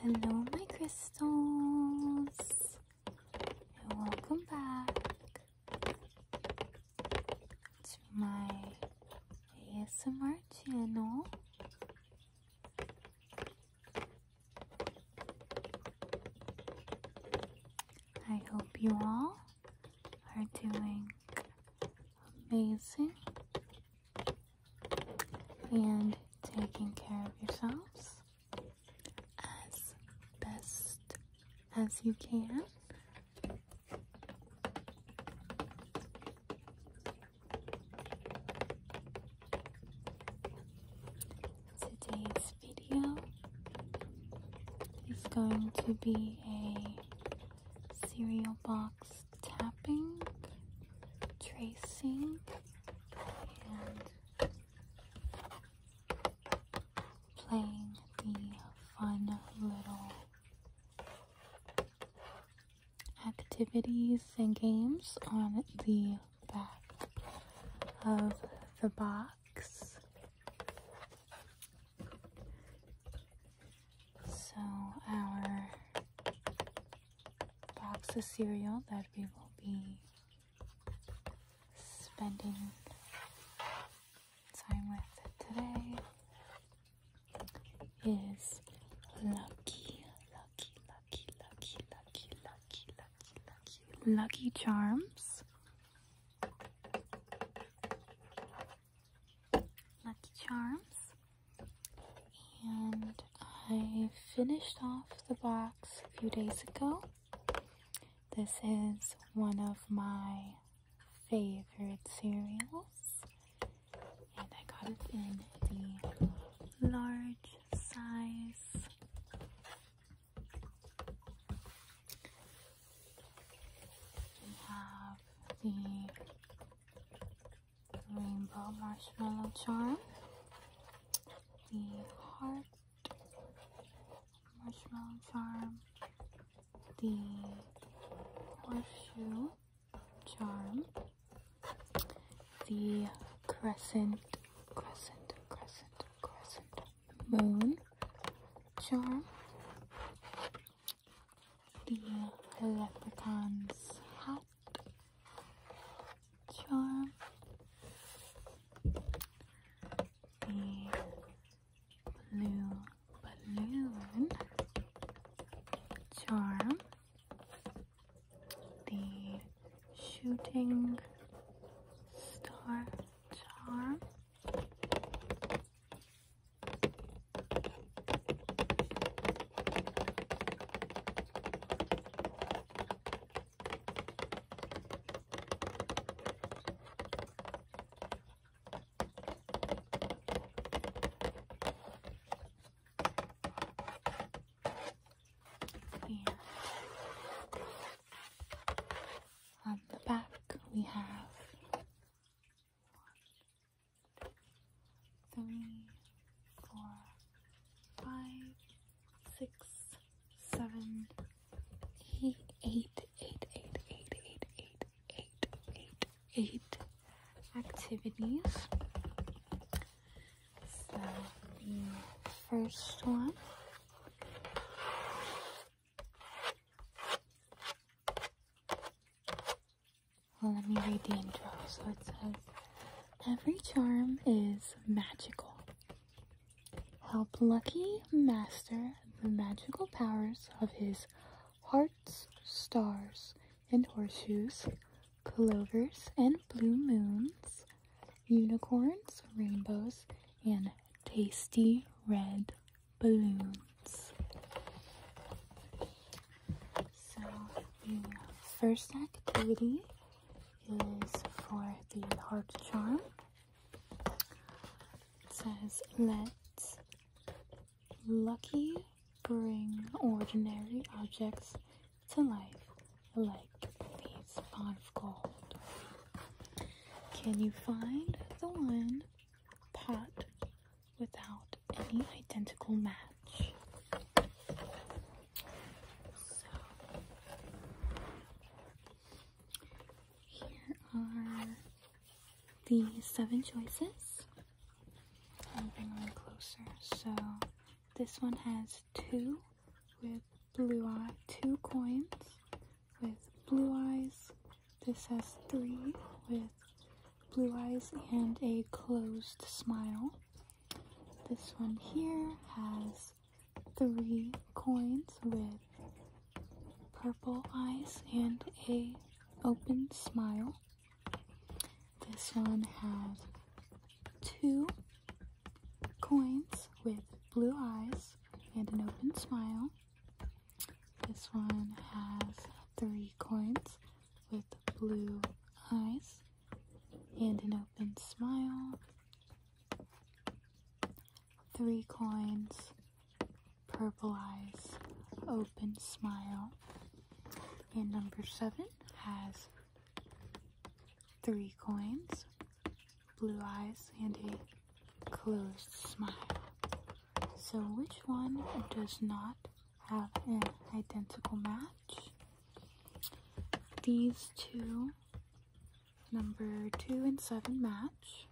Hello, my crystals, and welcome back to my ASMR channel. I hope you all are doing amazing and taking care of yourselves as best as you can. Today's video is going to be a cereal box tapping, tracing, and playing the fun little activities and games on the back of the box. So our box of cereal that we will be spending time with today is lucky, lucky, lucky lucky, charms. Lucky charms. And I finished off the box a few days ago. This is one of my favorite cereals. And I got it in the large size. We have the rainbow marshmallow charm, the heart marshmallow charm, the horseshoe charm, the crescent, crescent, crescent, crescent moon charm, the leprechaun's hat charm, the blue balloon charm, the shooting star charm. And on the back we have one, three, four, five, six, seven, eight, eight, eight, eight, eight, eight, eight, eight, eight activities. So the first one well, let me read the intro. So it says, Every charm is magical. Help Lucky master the magical powers of his heart's stars and horseshoes, clovers and blue moons, unicorns, rainbows, and tasty red balloons. So the first activity is for the heart charm. It says, let's lucky bring ordinary objects to life like these pots of gold. Can you find the one pot without any identical match? So here are the seven choices and bring them closer. So this one has two with blue eyes, two coins with blue eyes. This has three with blue eyes and a closed smile. This one here has three coins with purple eyes and a open smile. This one has two coins with blue eyes and an open smile. This one has three coins with blue eyes and an open smile. Three coins Purple Eyes Open Smile. And number seven has three coins, blue eyes, and a closed smile. So which one does not have an identical match? These two, number two and seven match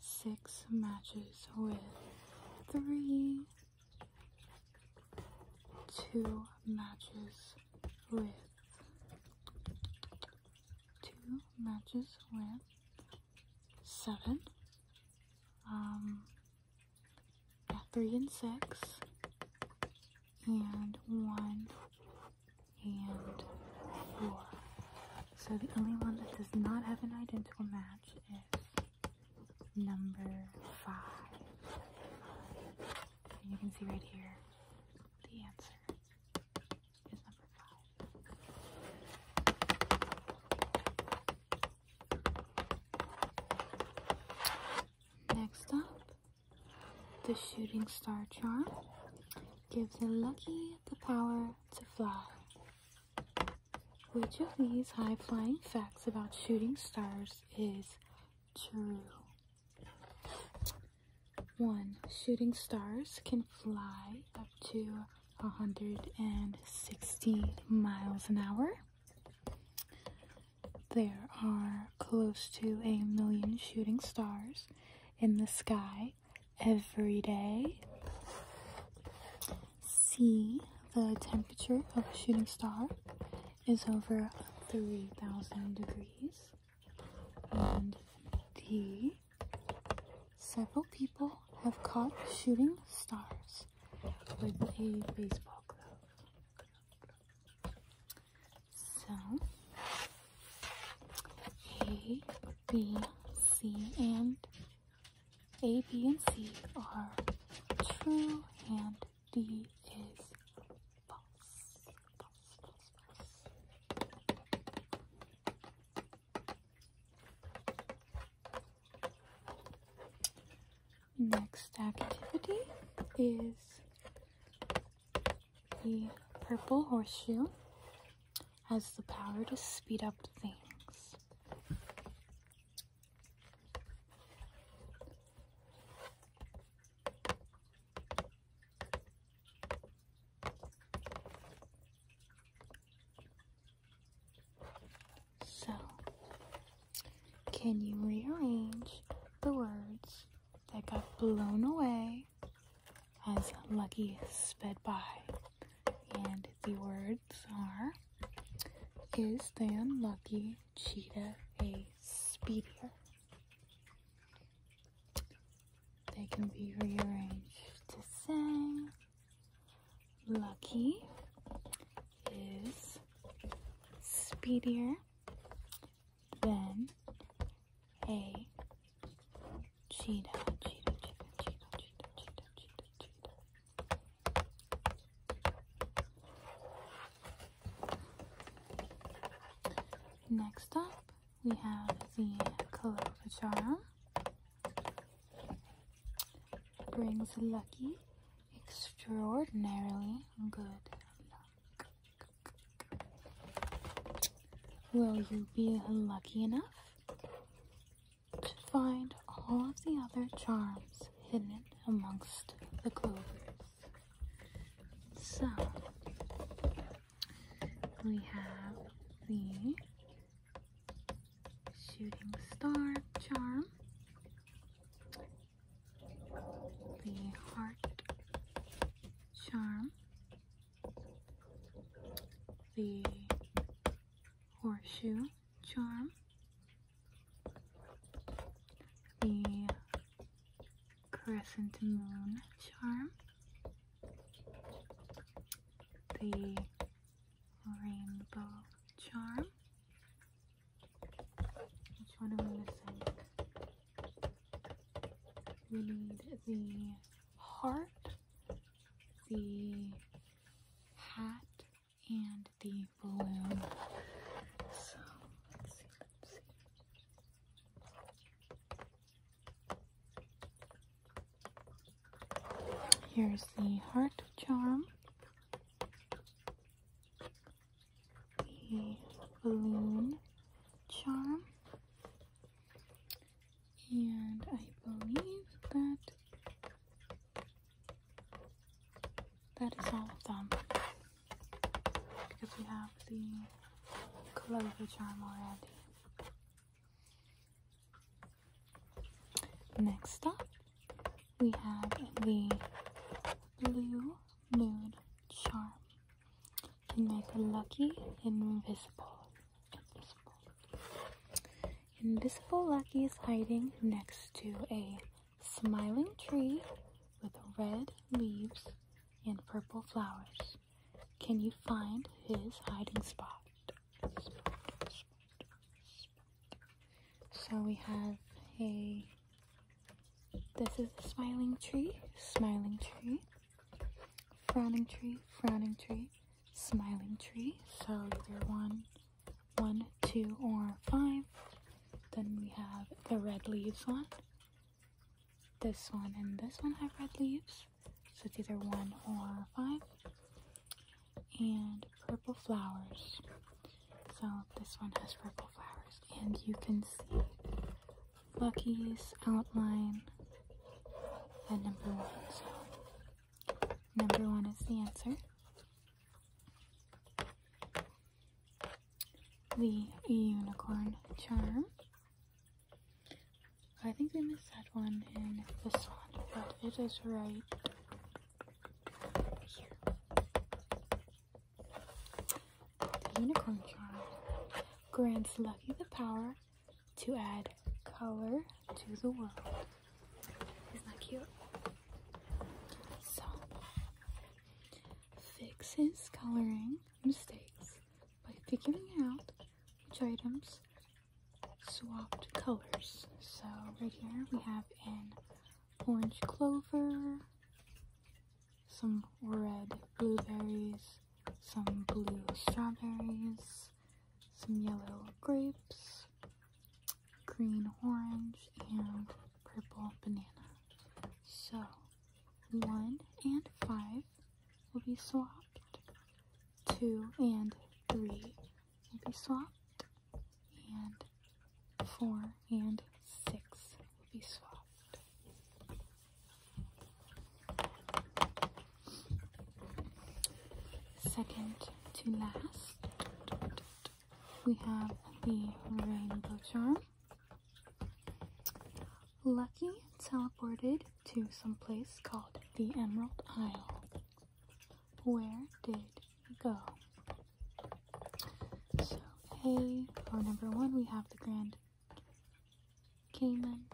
six matches with three, two matches with two matches with seven, um, yeah, three and six, and one and four. So the only one that does not have an identical match is number five. you can see right here the answer is number five. Next up, the shooting star charm gives a lucky the power to fly. Which of these high flying facts about shooting stars is true? 1. Shooting stars can fly up to 160 miles an hour. There are close to a million shooting stars in the sky every day. See the temperature of a shooting star is over 3000 degrees. And D, several people have caught shooting stars with a baseball glove. So, a, B, C, and A, B, and C are true, and D is false. Next activity is the purple horseshoe has the power to speed up things. So, can you rearrange the words that got blown away as Lucky sped by. And the words are Is than Lucky Cheetah a speedier? They can be rearranged to say Lucky is speedier than a Cheetah, cheetah, chicken, cheetah, cheetah, cheetah, cheetah, cheetah. Next up, we have the Clovichara. Brings lucky, extraordinarily good luck. Will you be lucky enough to find all of the other charms hidden amongst the clothes? So, we have the shooting star charm, the heart charm, the horseshoe charm, the crescent moon charm, the rainbow charm. Which one am I missing? We need the heart, the hat, and the balloon. So let's see, let's see. Here's the heart charm, the balloon charm, and I believe that that is all of them because we have the clover charm already. Next up, we have the blue mood charm can make a lucky invisible. Invisible. Lucky is hiding next to a smiling tree with red leaves and purple flowers. Can you find his hiding spot. So we have a this is a smiling tree, smiling tree, frowning tree, frowning tree, smiling tree. So either one, one, two, or five. Then we have the red leaves one. This one and this one have red leaves. So it's either one or five. And purple flowers. So this one has purple flowers and you can see Lucky's outline at number one. So number one is the answer. The unicorn charm. I think we missed that one in this one, but it is right here. The unicorn charm grants Lucky the power to add color to the world. Isn't that cute? So, fix his coloring mistakes by figuring out which items swapped colors. So right here we have an orange clover, some red blueberries, some blue strawberries, some yellow grapes, green orange, and purple banana. So, 1 and 5 will be swapped, 2 and 3 will be swapped, and four, and six will be swapped. Second to last, we have the rainbow charm. Lucky teleported to some place called the Emerald Isle. Where did he go? So hey. for number one, we have the Grand Cayman.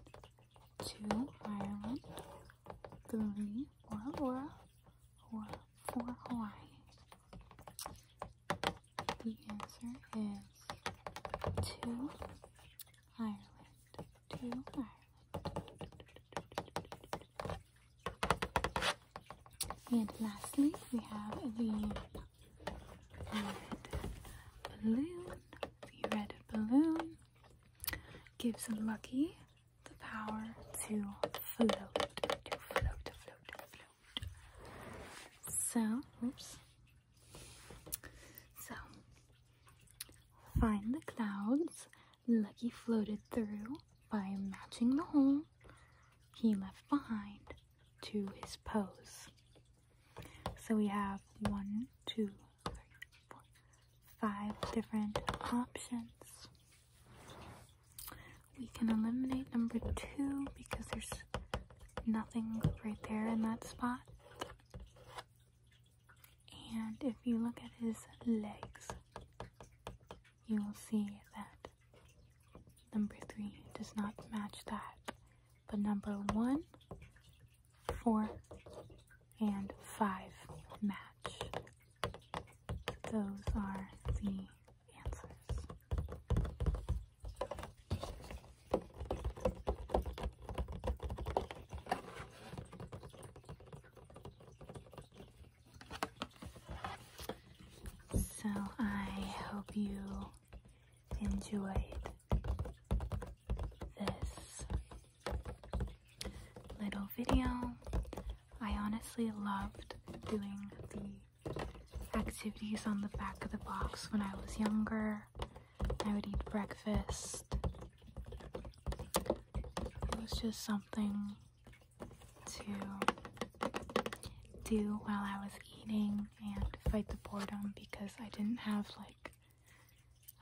Two, Ireland. Three, Ora four, Hawaii. The answer is two, Ireland. Two, Ireland. And lastly, we have the red balloon. The red balloon gives Lucky the power to float, to float, float, float. So, whoops. So, find the clouds Lucky floated through by matching the hole he left behind to his pose. So we have one, two, three, four, five different options. We can eliminate number two because there's nothing right there in that spot. And if you look at his legs, you will see that number three does not match that. But number one, four, and five match. Those are the answers. So I hope you enjoyed this little video. I honestly loved doing the activities on the back of the box when I was younger. I would eat breakfast. It was just something to do while I was eating and fight the boredom because I didn't have like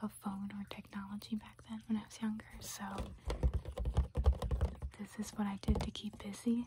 a phone or technology back then when I was younger. So this is what I did to keep busy.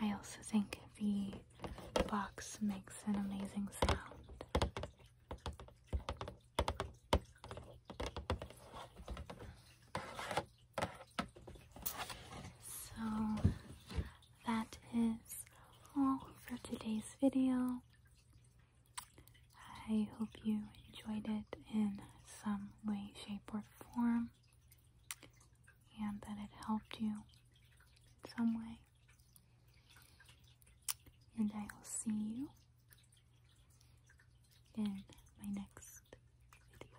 I also think the box makes an amazing sound. So that is all for today's video. I hope you enjoyed it in some way, shape, or form and that it helped you in some way. And I will see you in my next video.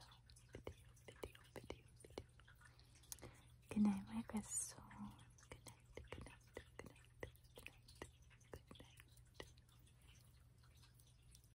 Video, video, video, video. Good night, my crystal. Good night, good night, good night, good night, good night.